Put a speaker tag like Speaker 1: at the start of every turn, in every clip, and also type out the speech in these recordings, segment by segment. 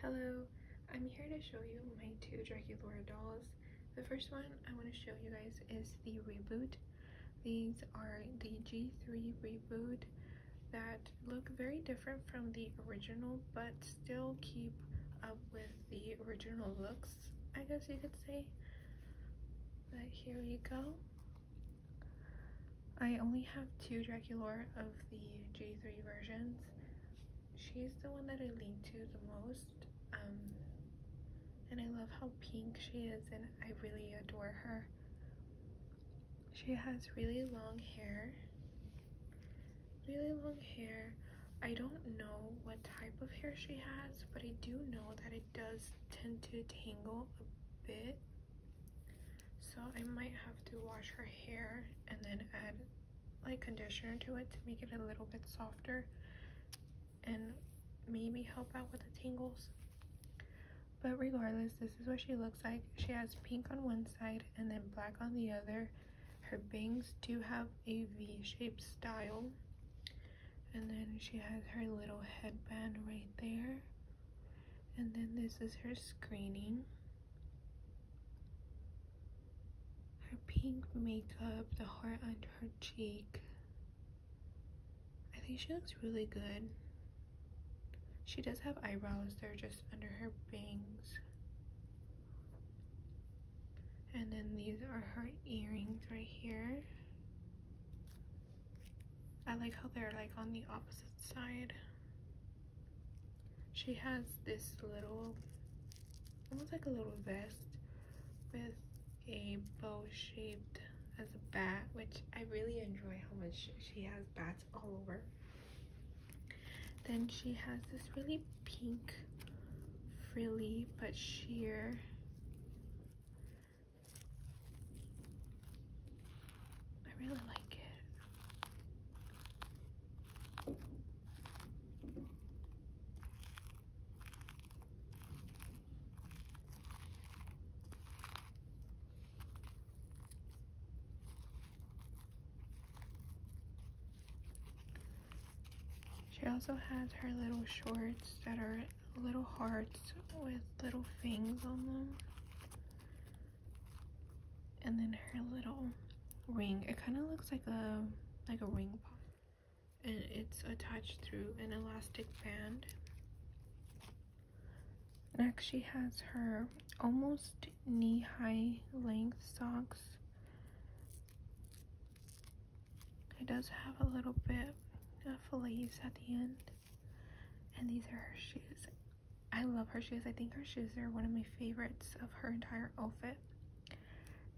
Speaker 1: Hello, I'm here to show you my two Draculaura dolls. The first one I want to show you guys is the reboot. These are the G3 reboot that look very different from the original but still keep up with the original looks, I guess you could say. But here you go. I only have two Draculaura of the J3 versions. She's the one that I lean to the most. Um, and I love how pink she is and I really adore her. She has really long hair. Really long hair. I don't know what type of hair she has, but I do know that it does tend to tangle a bit so I might have to wash her hair and then add like conditioner to it to make it a little bit softer and maybe help out with the tangles. But regardless, this is what she looks like. She has pink on one side and then black on the other. Her bangs do have a V-shaped style. And then she has her little headband right there. And then this is her screening. Her pink makeup, the heart under her cheek. I think she looks really good. She does have eyebrows, they're just under her bangs. And then these are her earrings right here. I like how they're like on the opposite side she has this little almost like a little vest with a bow shaped as a bat which I really enjoy how much she has bats all over then she has this really pink frilly but sheer I really like it. She also has her little shorts that are little hearts with little things on them and then her little ring it kind of looks like a like a ring pop and it's attached through an elastic band next she has her almost knee-high length socks it does have a little bit of fillets at the end and these are her shoes I love her shoes. I think her shoes are one of my favorites of her entire outfit.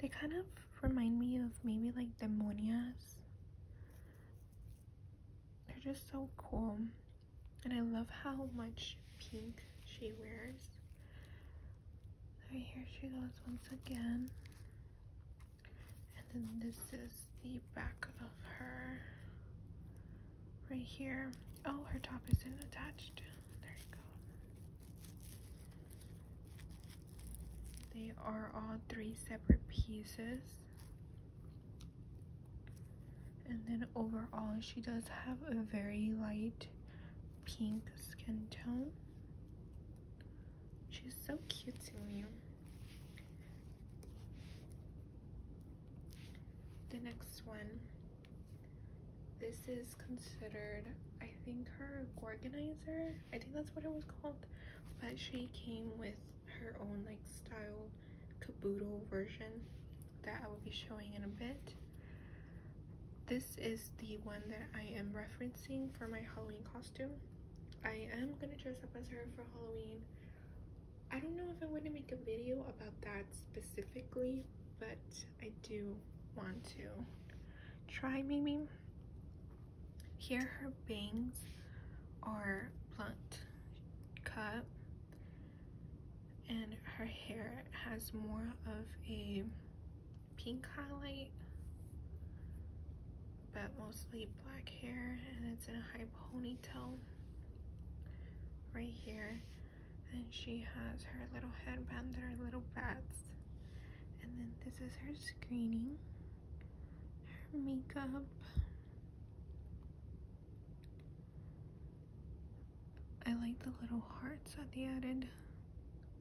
Speaker 1: They kind of remind me of maybe like the Monias. They're just so cool. And I love how much pink she wears. Right here she goes once again. And then this is the back of her right here. Oh, her top isn't attached. There you go. They are all three separate pieces. And then overall, she does have a very light pink skin tone. She's so cute to me. The next one, this is considered, I think her organizer, I think that's what it was called, but she came with her own like style caboodle version that I will be showing in a bit. This is the one that I am referencing for my Halloween costume. I am going to dress up as her for Halloween. I don't know if I want to make a video about that specifically, but I do want to try maybe. Here her bangs are blunt cut and her hair has more of a pink highlight but mostly black hair and it's in a high ponytail right here. And she has her little headband and her little bats. And then this is her screening, her makeup. I like the little hearts that they added.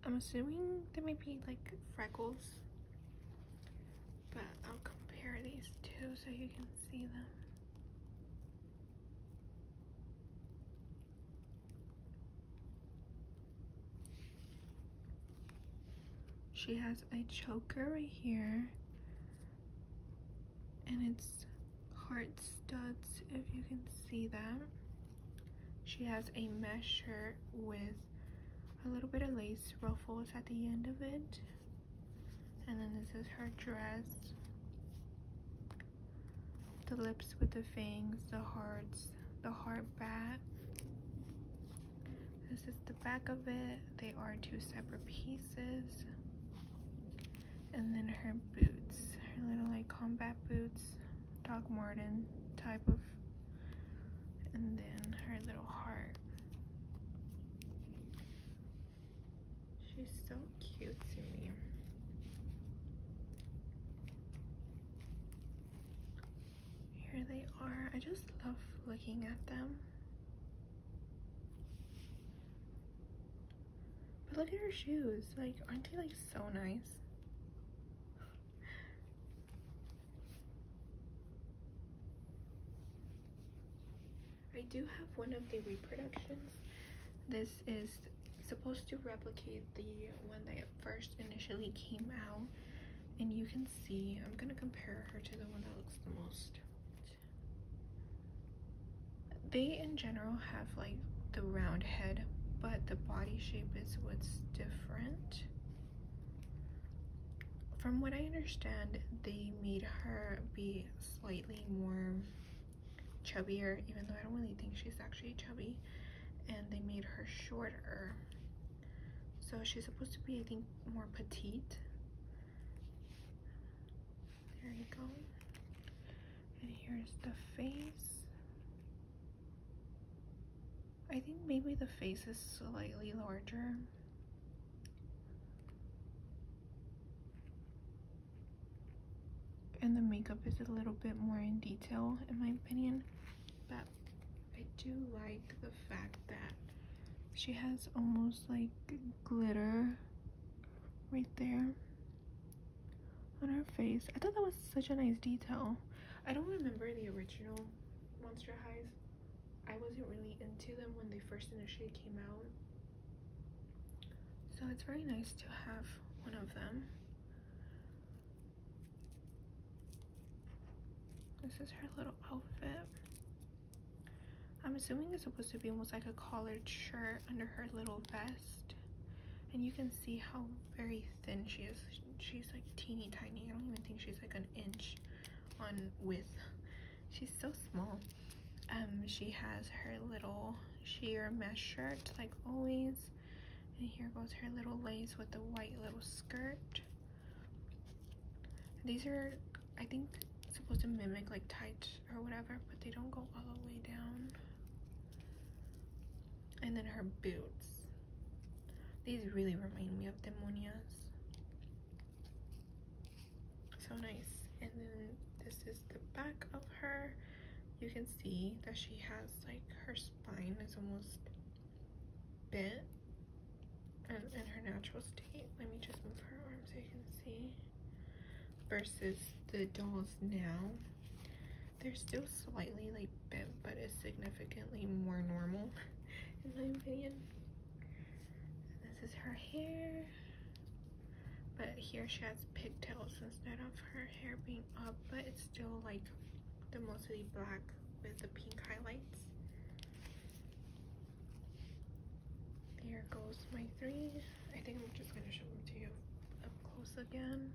Speaker 1: I'm assuming they may be like freckles. But I'll compare these two so you can see them. She has a choker right here. And it's heart studs, if you can see them, She has a mesh shirt with a little bit of lace ruffles at the end of it. And then this is her dress. The lips with the fangs, the hearts, the heart back. This is the back of it. They are two separate pieces. And then her boots, her little like combat boots, Doc Marten type of, and then her little heart. She's so cute to me. Here they are. I just love looking at them. But look at her shoes. Like, aren't they like so nice? I do have one of the reproductions. This is supposed to replicate the one that first initially came out. And you can see, I'm going to compare her to the one that looks the most. They, in general, have like the round head, but the body shape is what's different. From what I understand, they made her be slightly more chubbier, even though I don't really think she's actually chubby. And they made her shorter. So she's supposed to be, I think, more petite. There you go. And here's the face. I think maybe the face is slightly larger and the makeup is a little bit more in detail in my opinion but I do like the fact that she has almost like glitter right there on her face I thought that was such a nice detail I don't remember the original Monster Highs I wasn't really into them when they first initially came out. So it's very nice to have one of them. This is her little outfit. I'm assuming it's supposed to be almost like a collared shirt under her little vest. And you can see how very thin she is. She's like teeny tiny. I don't even think she's like an inch on width. She's so small. Um, she has her little sheer mesh shirt, like always. And here goes her little lace with the white little skirt. These are, I think, supposed to mimic like tights or whatever, but they don't go all the way down. And then her boots. These really remind me of demonias so nice and then this is the back of her you can see that she has like her spine is almost bent and in her natural state let me just move her arm so you can see versus the dolls now they're still slightly like bent but it's significantly more normal in my opinion this is her hair. But here she has pigtails instead of her hair being up, but it's still like the mostly black with the pink highlights. There goes my three. I think I'm just gonna show them to you up close again.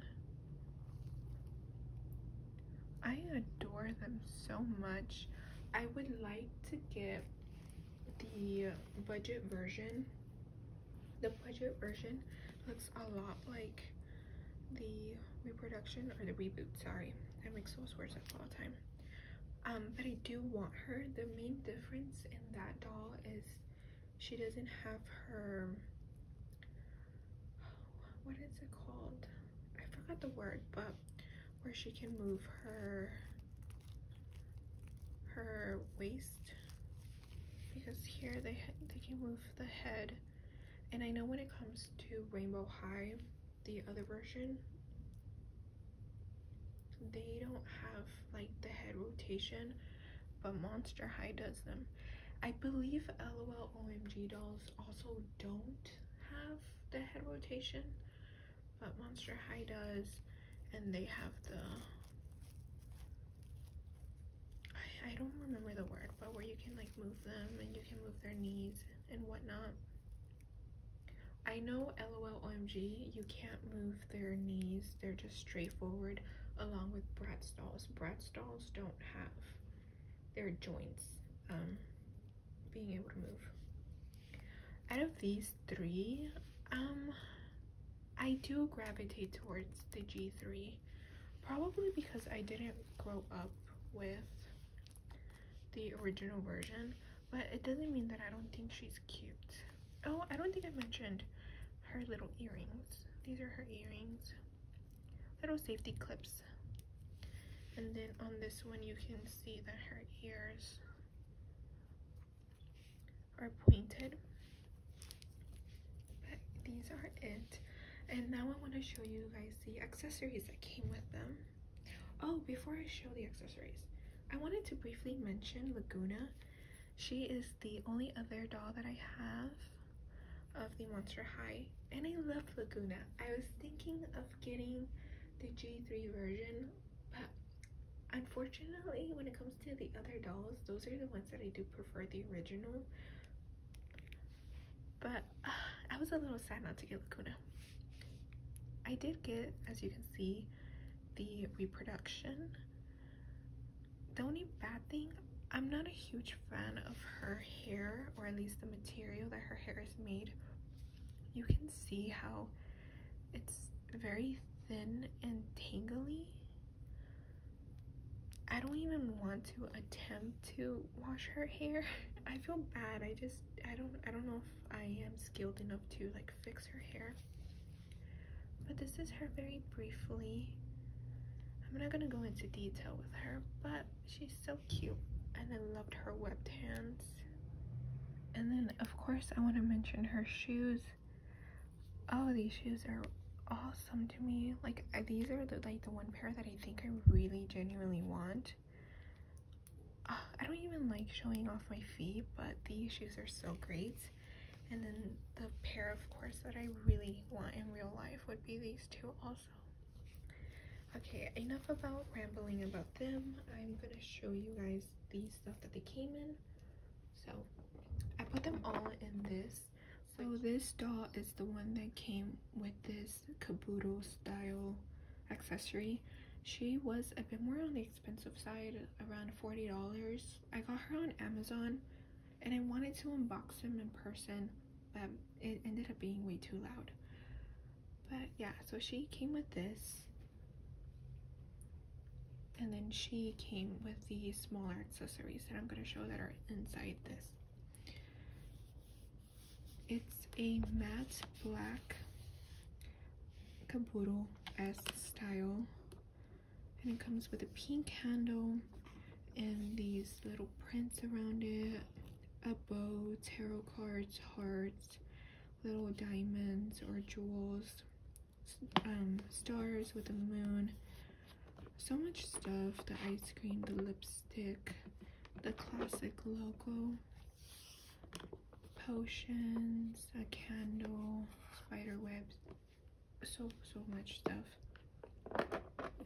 Speaker 1: I adore them so much. I would like to get the budget version. The budget version looks a lot like the reproduction or the reboot, sorry. I mix those words up all the time. Um, but I do want her. The main difference in that doll is she doesn't have her, what is it called? I forgot the word, but where she can move her her waist because here they they can move the head and I know when it comes to Rainbow High the other version they don't have like the head rotation but Monster High does them I believe LOL OMG dolls also don't have the head rotation but Monster High does, and they have the, I, I don't remember the word, but where you can like move them and you can move their knees and whatnot. I know lolomg. you can't move their knees, they're just straight forward along with Bratz dolls. Bratz dolls don't have their joints. Um, being able to move. Out of these three, um, I do gravitate towards the G3, probably because I didn't grow up with the original version, but it doesn't mean that I don't think she's cute. Oh, I don't think I mentioned her little earrings. These are her earrings, little safety clips. And then on this one, you can see that her ears are pointed but these are it and now I want to show you guys the accessories that came with them oh before I show the accessories I wanted to briefly mention Laguna she is the only other doll that I have of the Monster High and I love Laguna I was thinking of getting the G3 version but unfortunately when it comes to the other dolls those are the ones that i do prefer the original but uh, i was a little sad not to get lacuna i did get as you can see the reproduction the only bad thing i'm not a huge fan of her hair or at least the material that her hair is made you can see how it's very thin and tangly. I don't even want to attempt to wash her hair. I feel bad. I just I don't I don't know if I am skilled enough to like fix her hair. But this is her very briefly. I'm not gonna go into detail with her, but she's so cute and I loved her webbed hands. And then of course I want to mention her shoes. Oh, these shoes are awesome to me. Like these are like the one pair that I think I really genuinely want. Ah, I don't even like showing off my feet, but these shoes are so great. And then the pair, of course, that I really want in real life would be these two also. Okay, enough about rambling about them. I'm gonna show you guys the stuff that they came in. So I put them all in this. So this doll is the one that came with this Kabuto style accessory. She was a bit more on the expensive side, around $40. I got her on Amazon and I wanted to unbox them in person, but it ended up being way too loud. But yeah, so she came with this. And then she came with the smaller accessories that I'm going to show that are inside this. It's a matte black Kabuto-esque style. And it comes with a pink handle and these little prints around it, a bow, tarot cards, hearts, little diamonds or jewels, um, stars with the moon, so much stuff, the ice cream, the lipstick, the classic logo, potions, a candle, spider webs, so, so much stuff.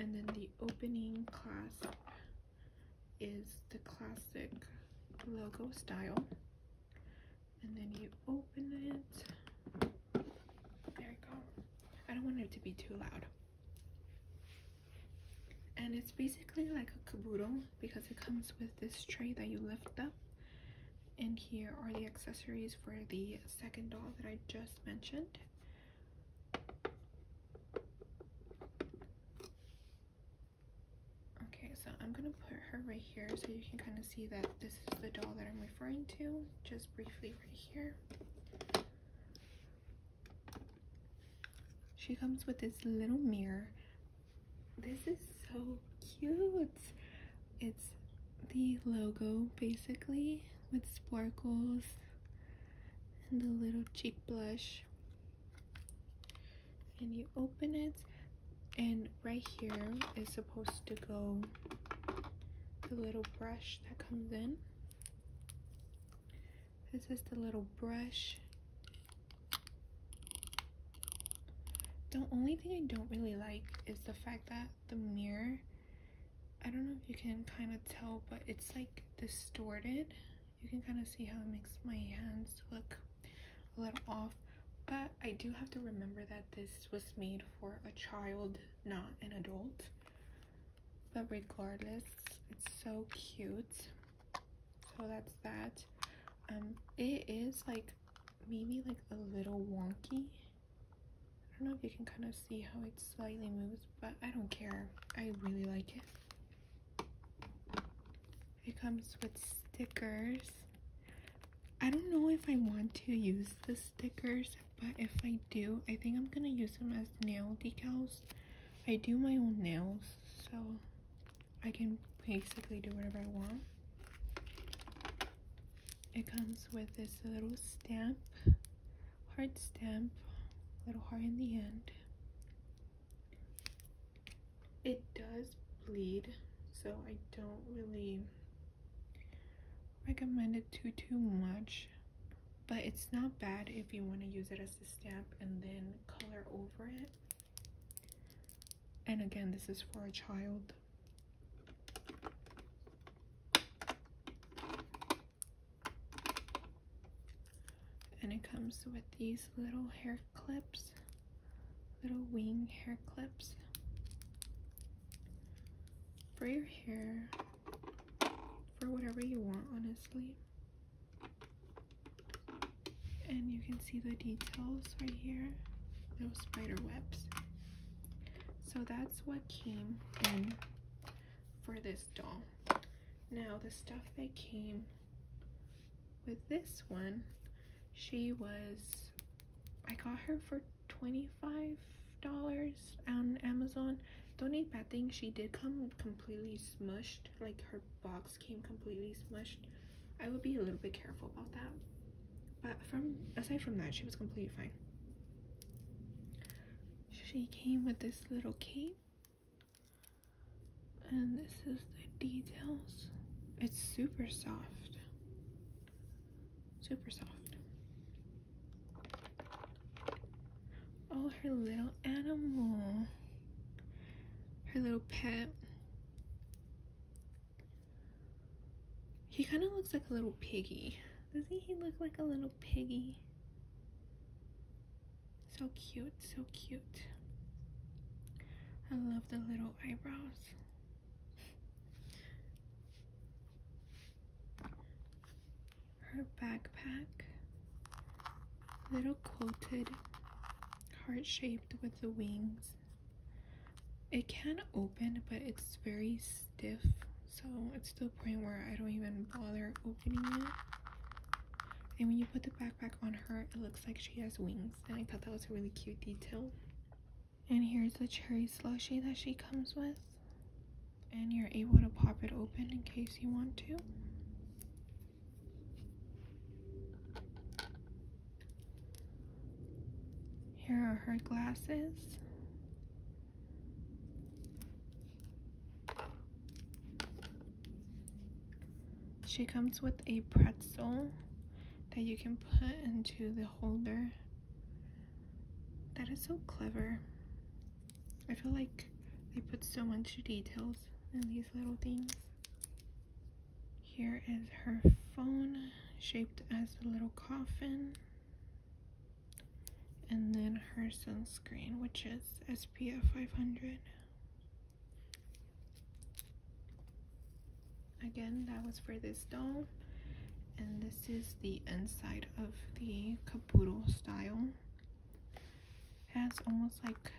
Speaker 1: And then the opening class is the classic logo style. And then you open it. There you go. I don't want it to be too loud. And it's basically like a kaboodle because it comes with this tray that you lift up. And here are the accessories for the second doll that I just mentioned. Okay, so I'm gonna put her right here so you can kind of see that this is the doll that I'm referring to, just briefly right here. She comes with this little mirror. This is so cute. It's the logo basically with sparkles and a little cheek blush and you open it and right here is supposed to go the little brush that comes in this is the little brush the only thing I don't really like is the fact that the mirror I don't know if you can kind of tell but it's like distorted you can kind of see how it makes my hands look a little off but I do have to remember that this was made for a child not an adult but regardless it's so cute so that's that um it is like maybe like a little wonky I don't know if you can kind of see how it slightly moves but I don't care I really like it it comes with stickers. I don't know if I want to use the stickers, but if I do, I think I'm gonna use them as nail decals. I do my own nails, so I can basically do whatever I want. It comes with this little stamp, heart stamp, little heart in the end. It does bleed, so I don't really recommend it to too much. But it's not bad if you want to use it as a stamp and then color over it. And again, this is for a child and it comes with these little hair clips little wing hair clips for your hair for whatever you want honestly and you can see the details right here little spider webs so that's what came in for this doll now the stuff that came with this one, she was, I got her for $25 on Amazon. Don't need bad thing, she did come completely smushed. Like her box came completely smashed. I would be a little bit careful about that. But from aside from that, she was completely fine. She came with this little cape and this is the details. It's super soft. Super soft. Oh, her little animal. Her little pet. He kind of looks like a little piggy. Doesn't he look like a little piggy? So cute, so cute. I love the little eyebrows. Her backpack, little quilted, heart-shaped with the wings. It can open, but it's very stiff, so it's to the point where I don't even bother opening it. And when you put the backpack on her, it looks like she has wings. And I thought that was a really cute detail. And here's the cherry slushie that she comes with. And you're able to pop it open in case you want to. Here are her glasses. She comes with a pretzel that you can put into the holder. That is so clever. I feel like they put so much details in these little things. Here is her phone shaped as a little coffin. And then her sunscreen, which is SPF 500. Again, that was for this dome, And this is the inside of the caboodle style. It has almost like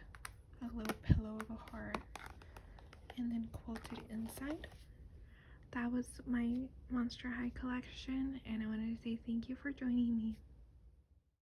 Speaker 1: a little pillow of a heart and then quilted inside. That was my Monster High collection and I wanted to say thank you for joining me.